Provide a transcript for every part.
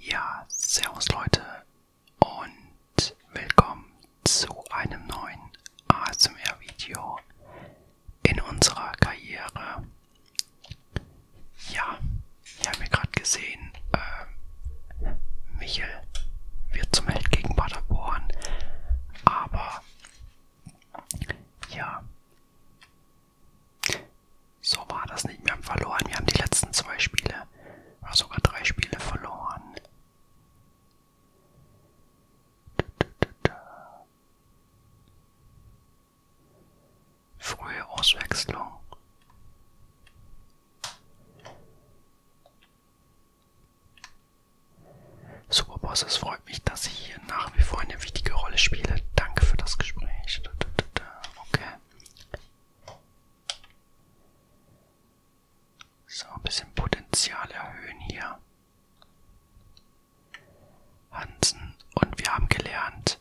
Ja, servus Leute und willkommen zu einem neuen ASMR-Video in unserer Karriere. Ja, ihr habt mir gerade gesehen, äh, Michel wird zum Held gegen Paderborn, aber ja, so war das nicht. Wir haben verloren. Wir haben die letzten zwei Spiele, oder sogar drei Spiele verloren. Frühe Auswechslung. Superboss, es freut mich, dass ich hier nach wie vor eine wichtige Rolle spiele. Danke für das Gespräch. Okay. So, ein bisschen Potenzial erhöhen hier. Hansen. Und wir haben gelernt,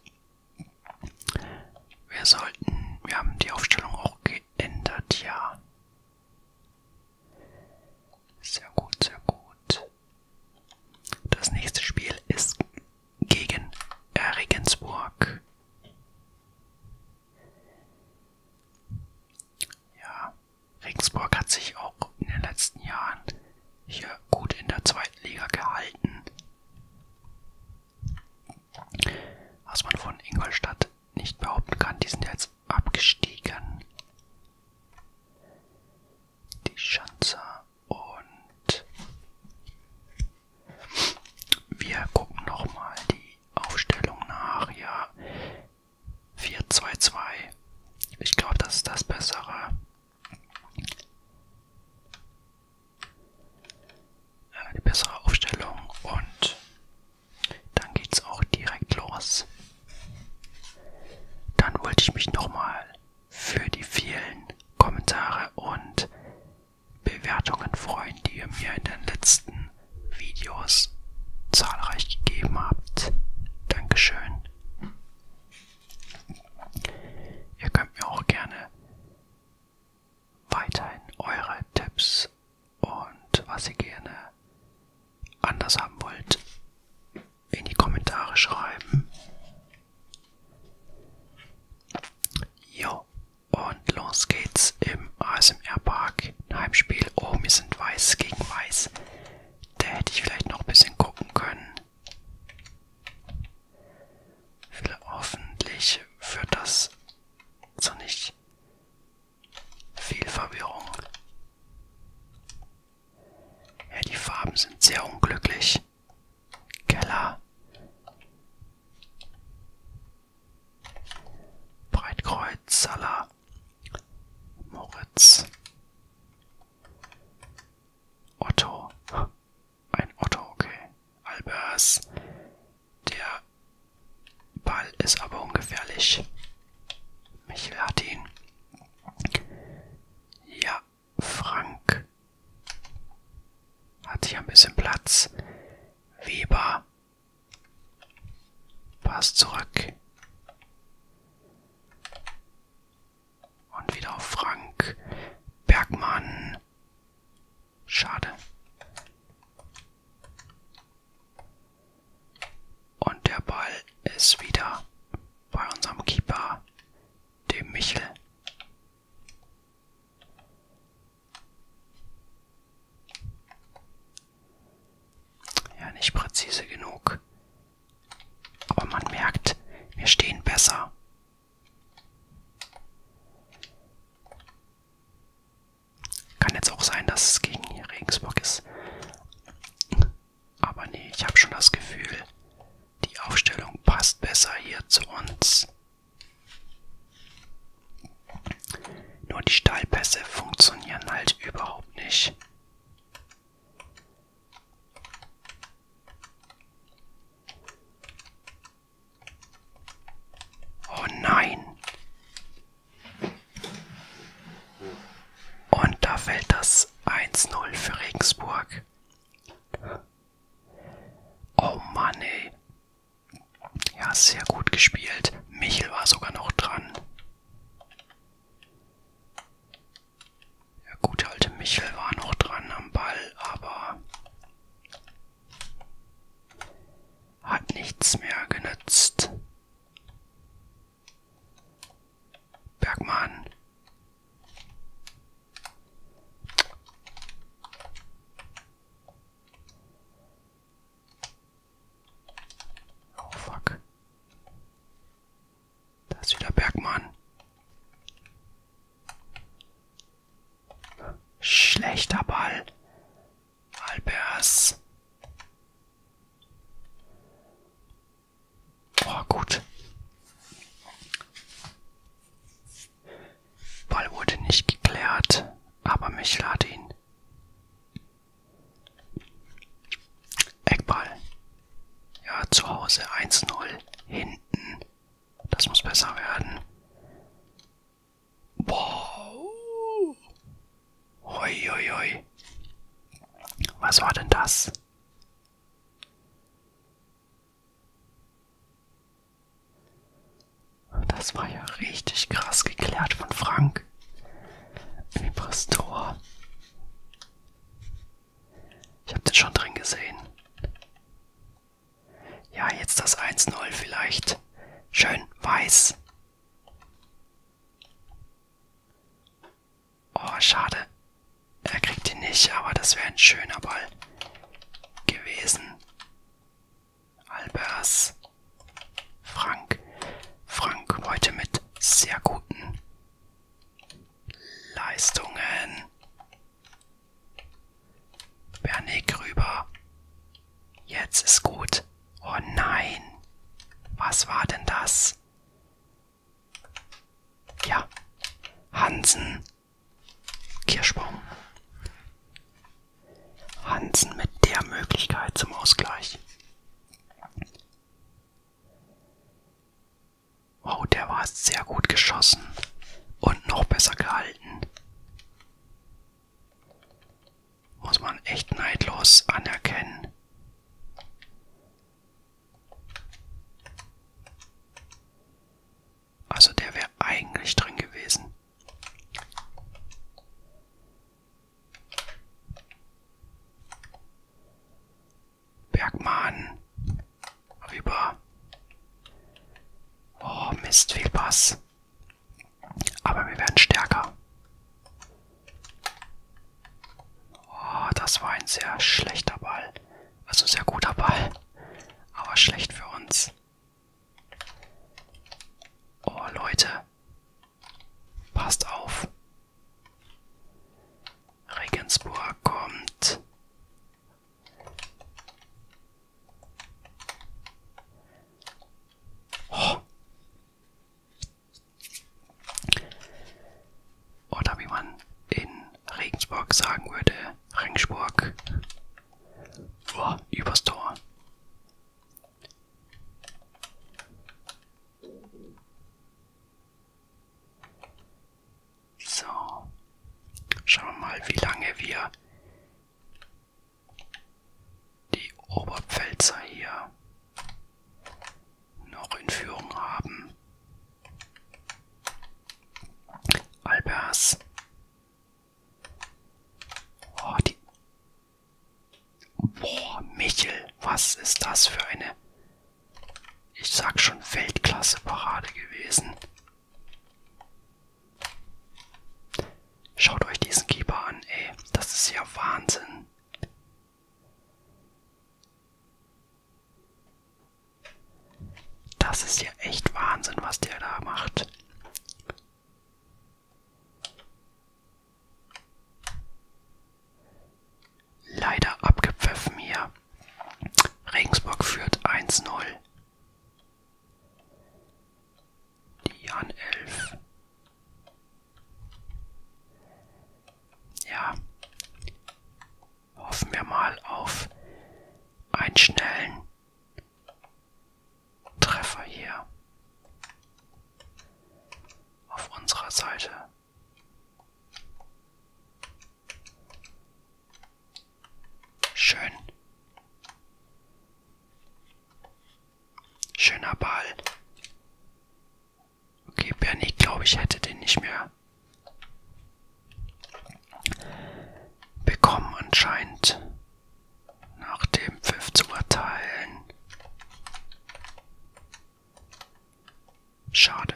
wir sollten, wir haben die Aufstellung auch geändert, ja. Sehr gut, sehr gut. Das nächste Spiel ist gegen Regensburg. Ja, Regensburg hat sich auch in den letzten Jahren hier gut in der zweiten Liga gehalten. Was man von Ingolstadt nicht behaupten kann, die sind jetzt abgestiegen. Die Schanzer und wir gucken nochmal die Aufstellung nach. Ja, 4-2-2. Ich glaube, das ist das Bessere. Die bessere Aufstellung und dann geht's auch direkt los. Dann wollte ich mich nochmal für die vielen Kommentare und Bewertungen freuen, die ihr mir in den letzten Videos zahlreich gegeben habt. Dankeschön. Ihr könnt mir auch gerne weiterhin eure Tipps und was ihr gerne anders haben wollt in die Kommentare schreiben. Jo, und los geht's im ASMR Park. Ein Heimspiel. Oh, wir sind weiß gegen weiß. Da hätte ich vielleicht noch ein bisschen gucken können. Hoffentlich führt das zu nicht viel Verwirrung. Ja, die Farben sind sehr unglücklich. Keller. Breitkreuz, Salah, Moritz, Otto, ein Otto, okay, Albers, der Ball ist aber ungefährlich, Michel hat ihn, ja, Frank hat hier ein bisschen Platz. Weber passt zurück. Und wieder auf Frank. Bergmann. Schade. Und der Ball ist wieder bei unserem Keeper dem Michel. Ja, nicht präzise genug. Aber man merkt, wir stehen besser. Kann jetzt auch sein, dass es gegen Regensburg ist. Aber nee, ich habe schon das Gefühl, die Aufstellung passt besser hier zu uns. Nur die Steilpässe funktionieren halt überhaupt nicht. Oh nein. Und da fällt das 1-0 für Regensburg. Oh Mann, ey. Ja, sehr gut gespielt. Michel war sogar noch dran. Der gute alte Michel war noch dran am Ball, aber hat nichts mehr genützt. Bergmann. Oh fuck. Da ist wieder Bergmann. Schlechter Ball. Albers. Boah, gut. Ball wurde nicht geklärt, aber mich lade ihn. Eckball. Ja, zu Hause 1-0. Hinten. Das muss besser werden. Wow. Uiuiui. Was war denn das? Das war ja richtig krass geklärt von Frank. Vibrastor. Ich habe den schon drin gesehen. Ja, jetzt das 1-0 vielleicht. Schön weiß. Oh, schade. Er kriegt ihn nicht, aber das wäre ein schöner Ball gewesen. Albers. Frank. Frank heute mit sehr guten Leistungen. Bernick rüber. Jetzt ist gut. Oh nein. Was war denn das? Ja. Hansen. Kirschbaum. Hansen mit der Möglichkeit zum Ausgleich. Oh, der war sehr gut geschossen und noch besser gehalten. Muss man echt neidlos anerkennen. Also der wäre eigentlich drin gewesen. Bergmann. Rüber. Oh, Mist, viel Pass. Aber wir werden stärker. Oh, das war ein sehr schlechter Ball. Also sehr guter Ball. Aber schlecht für uns. Oh, Leute. Passt auf. Regensburg kommt. Oh. Oder wie man in Regensburg sagen würde, Ringsburg. Boah, übers Tor. So, schauen wir mal, wie lange wir die Oberpfälzer hier noch in Führung haben. Albers. Oh, die. Boah, Michel, was ist das für eine. Ich sag schon Weltklasse-Parade gewesen. Schaut euch diesen Keeper an, ey. Das ist ja Wahnsinn. Das ist ja echt Wahnsinn, was der da macht. Leider abgepfiffen hier. Regensburg führt 1-0. Dian 11. Ja, hoffen wir mal auf einen schnellen Treffer hier auf unserer Seite. Schön. Schöner Ball. Okay, Bernie, glaube ich, hätte den nicht mehr bekommen anscheinend. Nach dem Pfiff zu urteilen. Schade.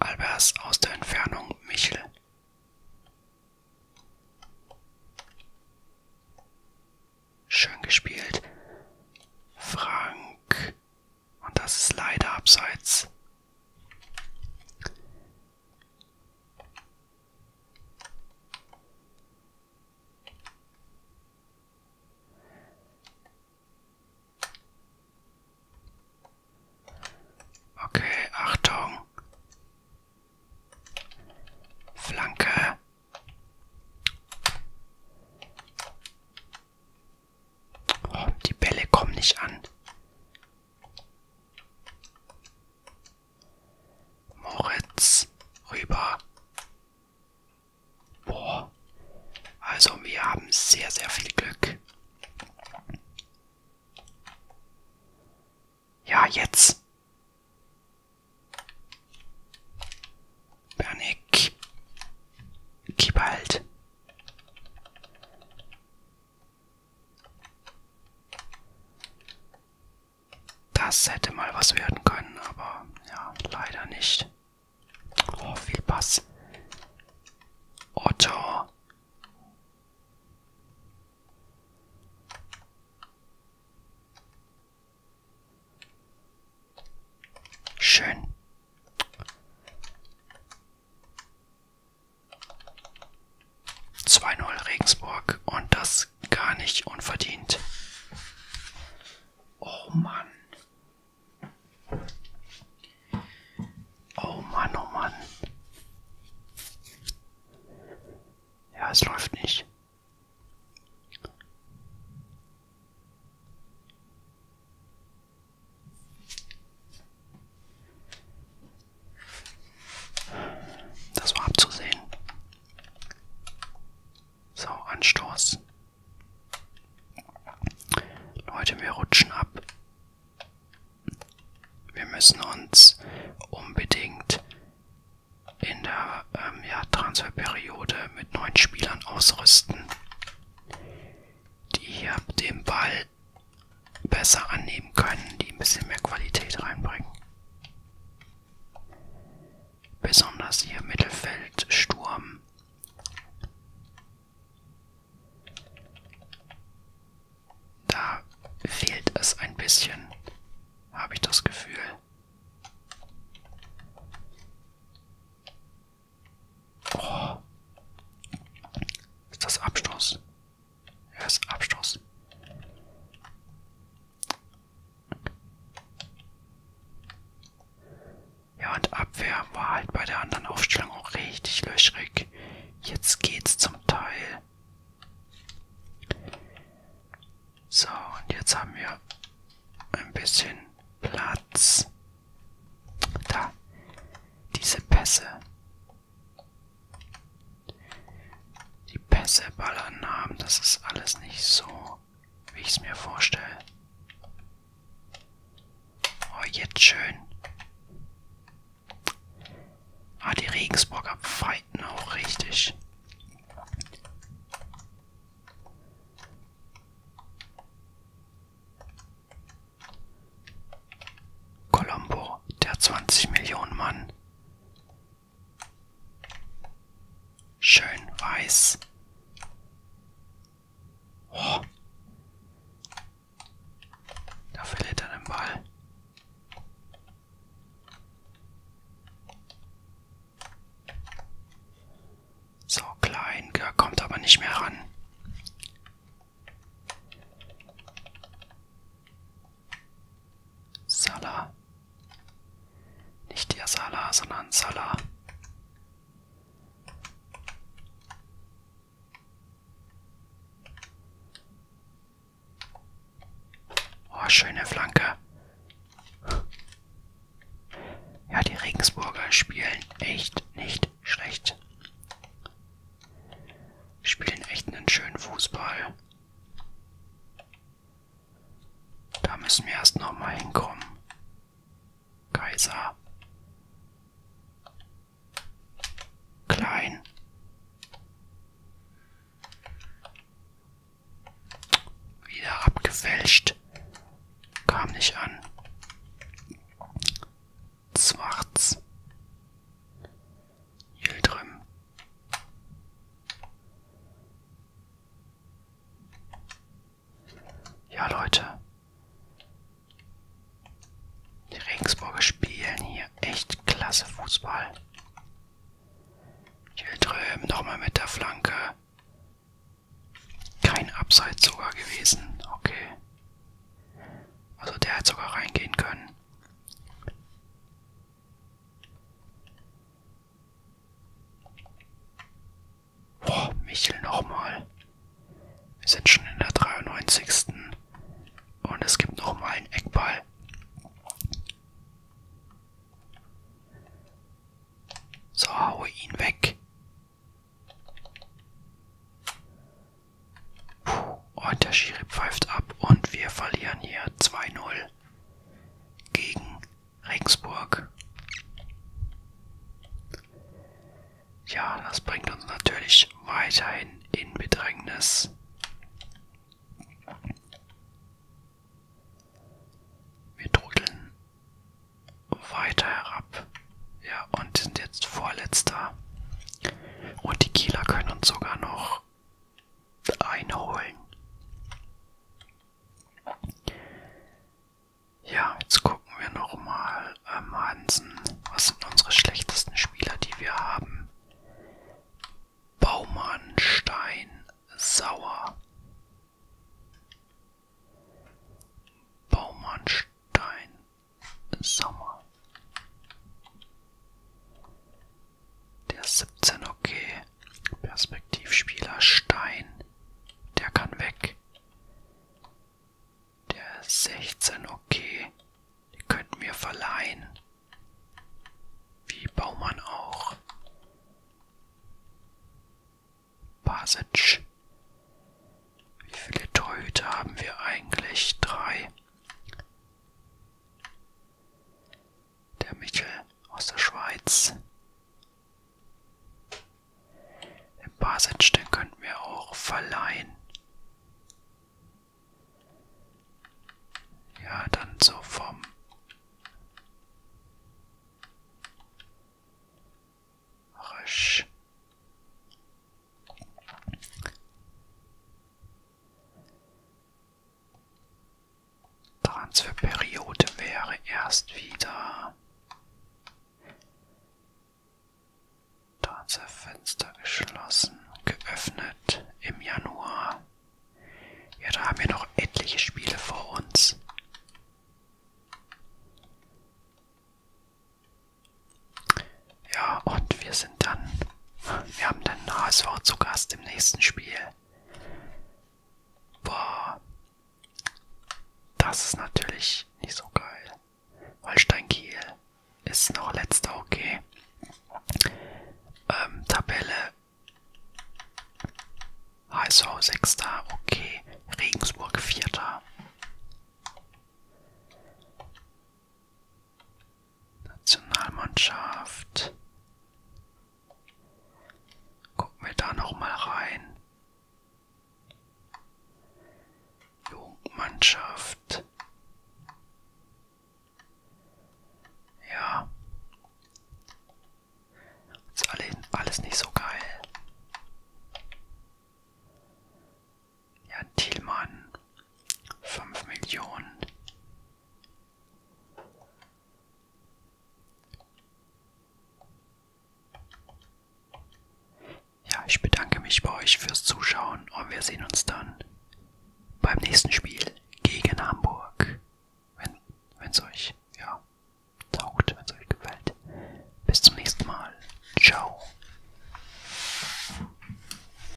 Albers aus der Entfernung Michel. Schön gespielt. Frank. Und das ist leider abseits. Okay, Achtung. Flanke. Oh, die Bälle kommen nicht an. Moritz rüber. Boah. Also wir haben sehr, sehr viel Glück. Ja, jetzt. Panik. Gib halt. Das hätte mal was werden können, aber ja, leider nicht. Oh, viel Pass. Otto. Schön. Zwei Null Regensburg und das gar nicht unverdient. Oh Mann. Oh Mann, oh Mann. Ja, es läuft nicht. Das war abzusehen. So, Anstoß. Leute, wir rutschen ab. Wir müssen uns unbedingt in der ähm, ja, Transferperiode mit neuen Spielern ausrüsten, die hier den Ball besser annehmen können, die ein bisschen mehr Qualität reinbringen. Besonders hier Mittelfeld, Sturm da fehlt es ein bisschen, habe ich das Gefühl. Oh. Ist das Abstoß? Ja, ist Abstoß. Ja, und Abwehr war halt bei der anderen Aufstellung auch richtig löchrig. Jetzt geht's zum Teil. So, und jetzt haben wir ein bisschen Platz. Da. Diese Pässe. Die Pässe ballern haben, das ist alles nicht so wie ich es mir vorstelle. Oh, jetzt schön. Ah, die Regensburger fighten auch richtig. Colombo, der 20 Millionen Mann. Schön weiß. Oh. Da verliert er den Ball. So klein, er kommt aber nicht mehr ran. Salah. Nicht der Salah, sondern Salah. Oh, schöne Flanke. Ja, die Regensburger spielen echt nicht schlecht. Spielen echt einen schönen Fußball. Da müssen wir erst nochmal hinkommen. Kaiser. Klein. Wieder abgefälscht. Kam nicht an. Schwarz. Yildirim. Ja, Leute. Die Regensburger spielen hier echt klasse Fußball. Chiltröm nochmal mit der Flanke. Kein Abseits sogar gewesen. Okay. Also der hat sogar reingehen können. Boah, Michel nochmal. Wir sind schon in der 93. Und es gibt nochmal einen Eckball. So, haue ihn weg. Puh, und der Schiri pfeift ab und wir verlieren hier 2-0 gegen Regensburg. Ja, das bringt uns natürlich weiterhin in Bedrängnis. Wir trudeln weiter herab. Ja, und sind jetzt vorletzter. Und die Kieler können uns sogar noch einholen. Ja, jetzt gucken wir nochmal ähm, Hansen. Was sind unsere schlechtesten Spieler, die wir haben? Baumann, Stein, Sauer. Baumann, Stein, Sauer. Der ist 17, okay. Perspektivspieler Stein. Der kann weg. Der ist 16, okay. Die könnten wir verleihen. Wie Baumann auch. Basic. Wie viele Torhüter haben wir eigentlich? Drei der Michel aus der Schweiz. Ein paar Sätze könnten wir auch verleihen. Ja, dann so vom Rösch. Transferperiode wäre erst wieder Transferfenster geschlossen, geöffnet im Januar. Ja, da haben wir noch etliche Spiele vor uns. Ja, und wir sind dann wir haben dann HSV zu Gast im nächsten Spiel. Boah. Das ist natürlich nicht so geil. Holstein Kiel ist noch letzter, okay. Ähm, Tabelle. HSV 6. okay. Regensburg 4. Nationalmannschaft. Gucken wir da nochmal rein. Jugendmannschaft. Ja. Ist alles nicht so geil. Jan Thielmann. 5 Millionen. Ja, ich bedanke mich bei euch fürs Zuschauen und wir sehen uns dann beim nächsten Spiel gegen Hamburg. Wenn es euch ja, taugt, wenn es euch gefällt. Bis zum nächsten Mal. Ciao.